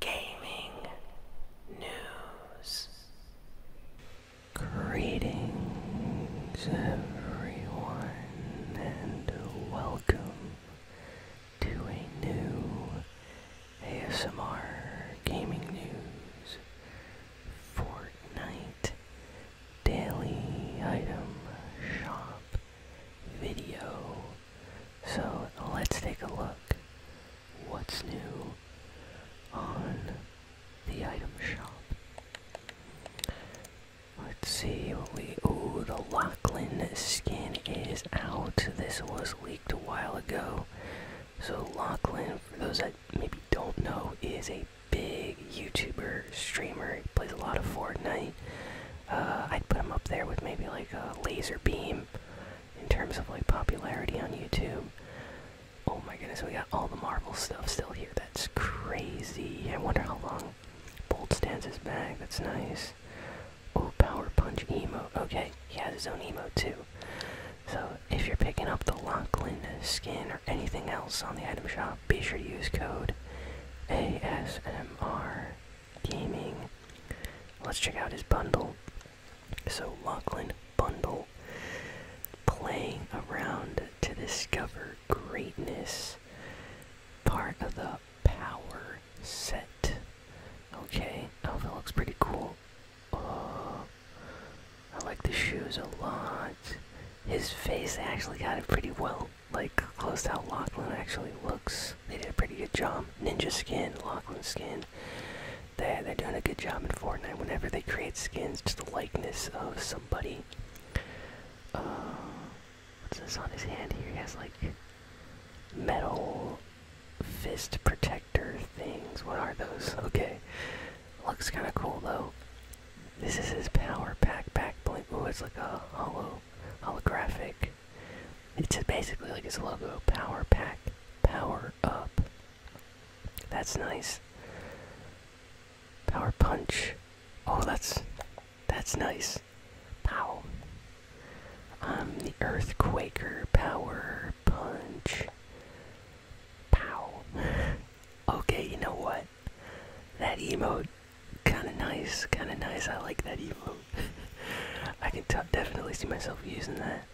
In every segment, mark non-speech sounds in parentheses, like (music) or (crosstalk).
gaming news. Greetings, everyone, and welcome to a new ASMR gaming news Fortnite daily item shop video so let's take a look what's new on the item shop. Let's see what we oh the Lachlan skin is out. This was leaked a while ago. So Lachlan, for those that maybe don't know, is a big YouTuber streamer. He plays a lot of Fortnite. Uh, I'd put him up there with maybe like a laser beam in terms of like popularity on YouTube. Oh my goodness, we got all the Marvel stuff still here. That's crazy. I wonder how long Bolt stands his bag. That's nice. Oh, Power Punch emote. Okay, he has his own emote too. So if you're picking up the Lachlan skin or anything else on the item shop, be sure to use code ASMR Gaming. Let's check out his bundle. So, Lachlan Bundle. Playing around to discover greatness. Part of the power set. Okay, oh, that looks pretty cool. Oh, I like the shoes a lot. His face actually got it pretty well like close to how Lachlan actually looks. They did a pretty good job. Ninja skin, Lachlan skin. They they're doing a good job in Fortnite whenever they create skins to the likeness of somebody. Uh, what's this on his hand here? He has like metal fist protector things. What are those? (laughs) Okay. Looks kinda cool though. This is his power pack back blink. Ooh, it's like a hollow holographic it's basically like it's a logo Power Pack, Power Up. That's nice. Power Punch. Oh, that's. That's nice. Pow. I'm um, the Earthquaker Power Punch. Pow. (laughs) okay, you know what? that emo, kind of nice, kind of nice. I like that emo. (laughs) I can definitely see myself using that.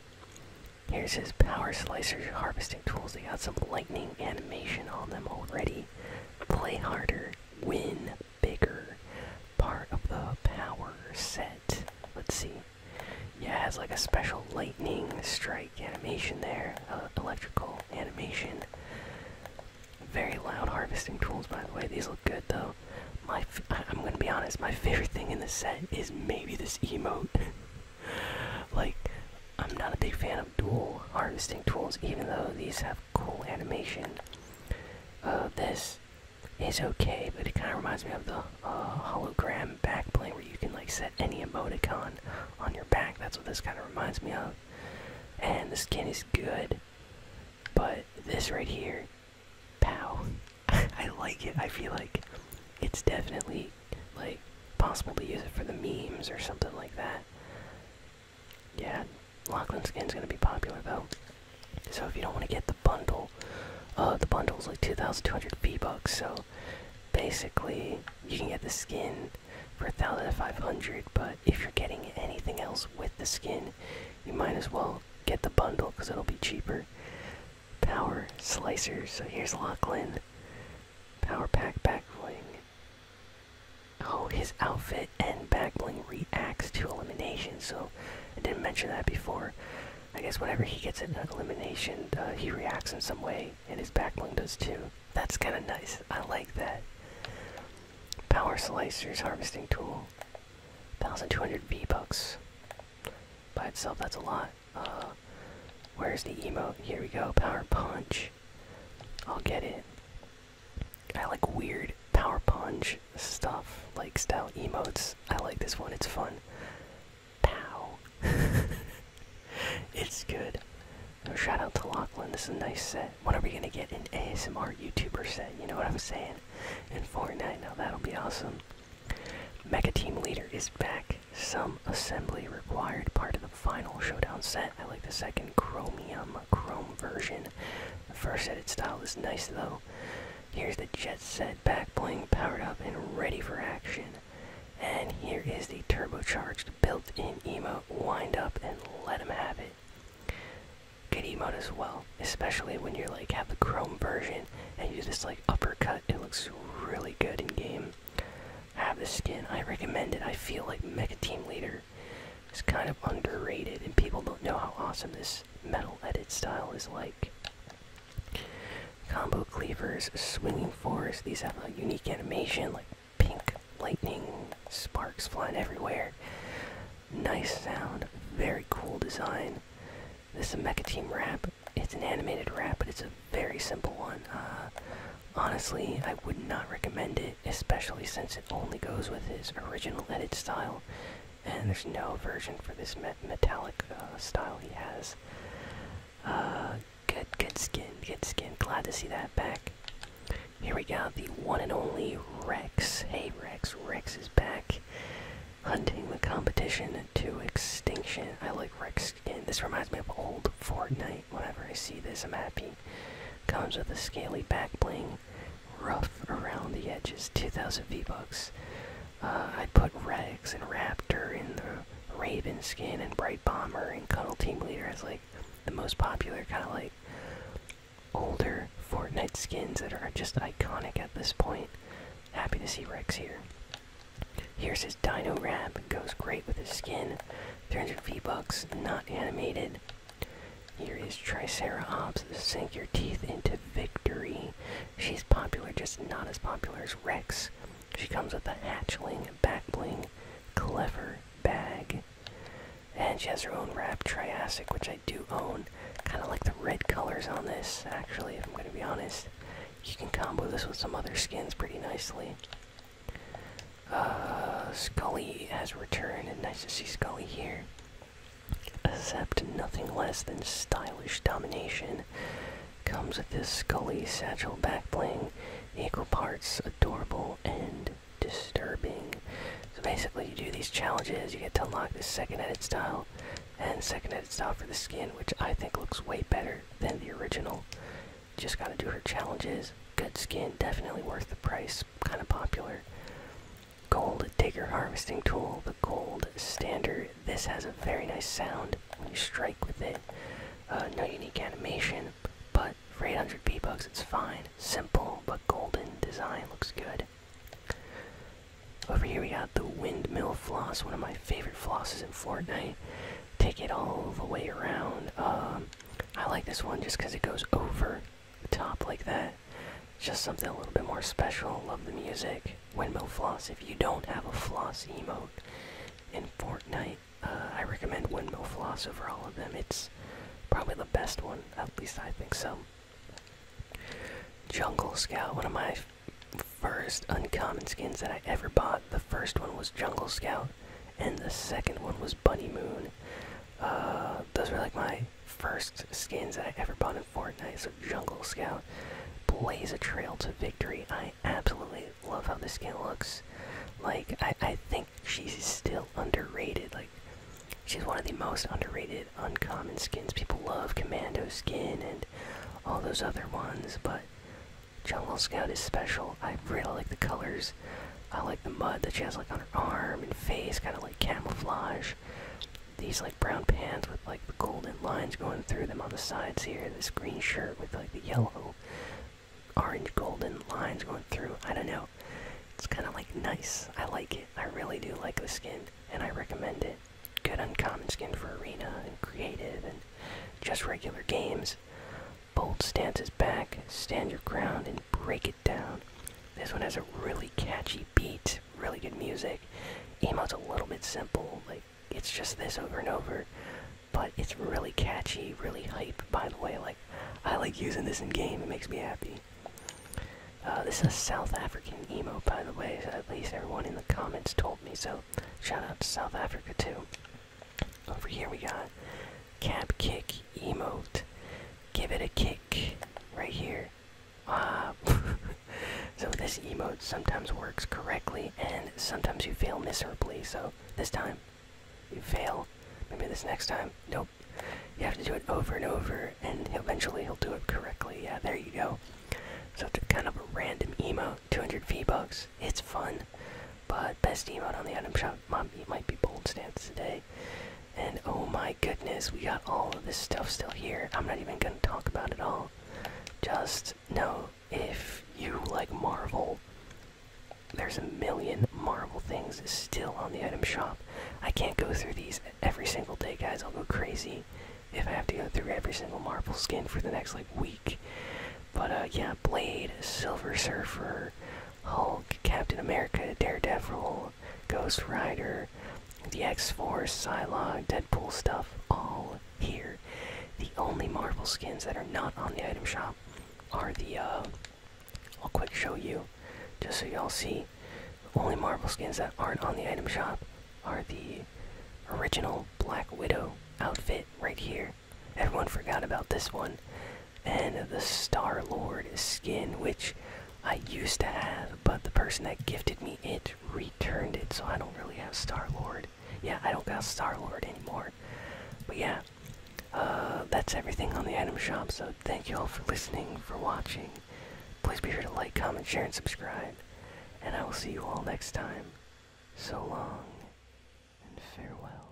Here's his power slicer harvesting tools. They got some lightning animation on them already. Play harder, win bigger. Part of the power set. Let's see. Yeah, it has like a special lightning strike animation there, uh, electrical animation. Very loud harvesting tools, by the way. These look good, though. My, f I'm gonna be honest. My favorite thing in the set is maybe this emote. (laughs) like, I'm not a big fan of dual harvesting tools, even though these have cool animation. Uh, this is okay, but it kind of reminds me of the uh, hologram backplane where you can like set any emoticon on your back. That's what this kind of reminds me of. And the skin is good, but this right here, pow. (laughs) I like it. I feel like it's definitely like possible to use it for the memes or something like that. Yeah, Lachlan skin's gonna be popular though. So if you don't want to get the bundle, uh, the bundle is like 2,200 V bucks. So basically, you can get the skin it for 1500 but if you're getting anything else with the skin you might as well get the bundle because it'll be cheaper power slicer so here's lachlan power pack back bling oh his outfit and back bling reacts to elimination so i didn't mention that before i guess whenever he gets an elimination uh, he reacts in some way and his back bling does too that's kind of nice. I like that. Power Slicer's Harvesting Tool. 1200 V-Bucks. By itself, that's a lot. Uh, where's the emote? Here we go. Power Punch. I'll get it. I like weird Power Punch stuff, like style emotes. I like this one, it's fun. Pow. (laughs) it's good. shout out to Lachlan. This is a nice set. When are we gonna get an ASMR YouTuber set? You know what I'm saying? And Fortnite, now that'll be awesome. Mega Team Leader is back. Some assembly required. Part of the final showdown set. I like the second chromium chrome version. The first edit style is nice though. Here's the jet set back bling powered up and ready for action. And here is the turbocharged built-in emote, wind up and let him have it. Good emote as well, especially when you're like have the chrome version and you just like uppercut. It looks really good in game. Have the skin, I recommend it. I feel like Mega Team Leader is kind of underrated and people don't know how awesome this metal edit style is like combo cleavers, swinging force. These have a unique animation, like pink lightning sparks flying everywhere. Nice sound, very cool design. This is a Mecha Team wrap. It's an animated wrap, but it's a very simple one. Uh, honestly, I would not recommend it, especially since it only goes with his original edit style, and there's no version for this metallic uh, style he has. Uh, Good, good skin, good skin. Glad to see that back. Here we go, the one and only Rex. Hey Rex, Rex is back. Hunting the competition to extinction. I like Rex skin. This reminds me of old Fortnite. Whenever I see this, I'm happy. Comes with a scaly back bling. Rough around the edges. 2,000 V-Bucks. Uh, I put Rex and Raptor in the Raven skin and Bright Bomber and Cuddle Team Leader is like the most popular kind of like older Fortnite skins that are just iconic at this point. Happy to see Rex here. Here's his Dino Wrap. Goes great with his skin. 300 V-Bucks, not animated. Here is Triceratops. Sink your teeth into victory. She's popular, just not as popular as Rex. She comes with a hatchling, backbling, clever bag. And she has her own wrap, Triassic, which I do own. Kind of like the red colors on this, actually, if I'm going to be honest. You can combo this with some other skins pretty nicely. Uh, Scully has returned, and nice to see Scully here. Accept nothing less than stylish domination. Comes with this Scully satchel back bling, equal parts adorable and disturbing. So basically, you do these challenges, you get to unlock this second edit style, and second edit style for the skin, which I think looks way better than the original. Just gotta do her challenges. Good skin, definitely worth the price, kinda popular. Gold digger harvesting tool, the gold standard. This has a very nice sound when you strike with it. Uh, no unique animation, but for 800 B bucks, it's fine. Simple but golden design looks good. Over here, we got the windmill floss, one of my favorite flosses in Fortnite. Take it all the way around. Um, I like this one just because it goes over the top like that just something a little bit more special. Love the music. Windmill Floss. If you don't have a floss emote in Fortnite, uh, I recommend Windmill Floss over all of them. It's probably the best one. At least I think so. Jungle Scout. One of my first uncommon skins that I ever bought. The first one was Jungle Scout, and the second one was Bunny Moon. Uh, those were like my first skins that I ever bought in Fortnite. So Jungle Scout blaze a trail to victory. I absolutely love how this skin looks. Like I, I think she's still underrated. Like she's one of the most underrated uncommon skins. People love Commando skin and all those other ones, but Jungle Scout is special. I really like the colors. I like the mud that she has like on her arm and face, kind of like camouflage these like brown pants with like the golden lines going through them on the sides here. This green shirt with like the yellow, orange, golden lines going through. I don't know. It's kind of like nice. I like it. I really do like the skin, and I recommend it. Good uncommon skin for arena and creative and just regular games. Bold stance is back. Stand your ground and break it down. This one has a really catchy beat really good music. Emo's a little bit simple, like it's just this over and over, but it's really catchy, really hype. By the way, like I like using this in game; it makes me happy. Uh, this is a South African emo, by the way. So at least everyone in the comments told me. So shout out to South Africa too. Over here we got cap kick emote. Give it a kick right here. Uh, (laughs) so this emote sometimes works correctly and sometimes you fail miserably. So this time you fail. Maybe this next time, nope. You have to do it over and over, and eventually he'll do it correctly. Yeah, there you go. So it's kind of a random emote, 200 V-Bucks. It's fun, but best emote on the item shop might be, might be Bold Stance today. And oh my goodness, we got all of this stuff still here. I'm not even gonna talk about it all. Just know if you like Marvel, there's a million Marvel things still on the item shop. I can't go through these every single day, guys. I'll go crazy if I have to go through every single Marvel skin for the next like week. But uh, yeah, Blade, Silver Surfer, Hulk, Captain America, Daredevil, Ghost Rider, the X-Force, Psylocke, Deadpool stuff, all here. The only Marvel skins that are not on the item shop are the, uh, I'll quick show you, just so y'all see. only Marvel skins that aren't on the item shop are the original Black Widow outfit right here. Everyone forgot about this one and the Star Lord skin, which I used to have, but the person that gifted me it returned it, so I don't really have Star Lord. Yeah, I don't got Star Lord anymore. But yeah, uh, that's everything on the item shop, so thank you all for listening, for watching. Please be sure to like, comment, share, and subscribe. And I will see you all next time. So long, and farewell.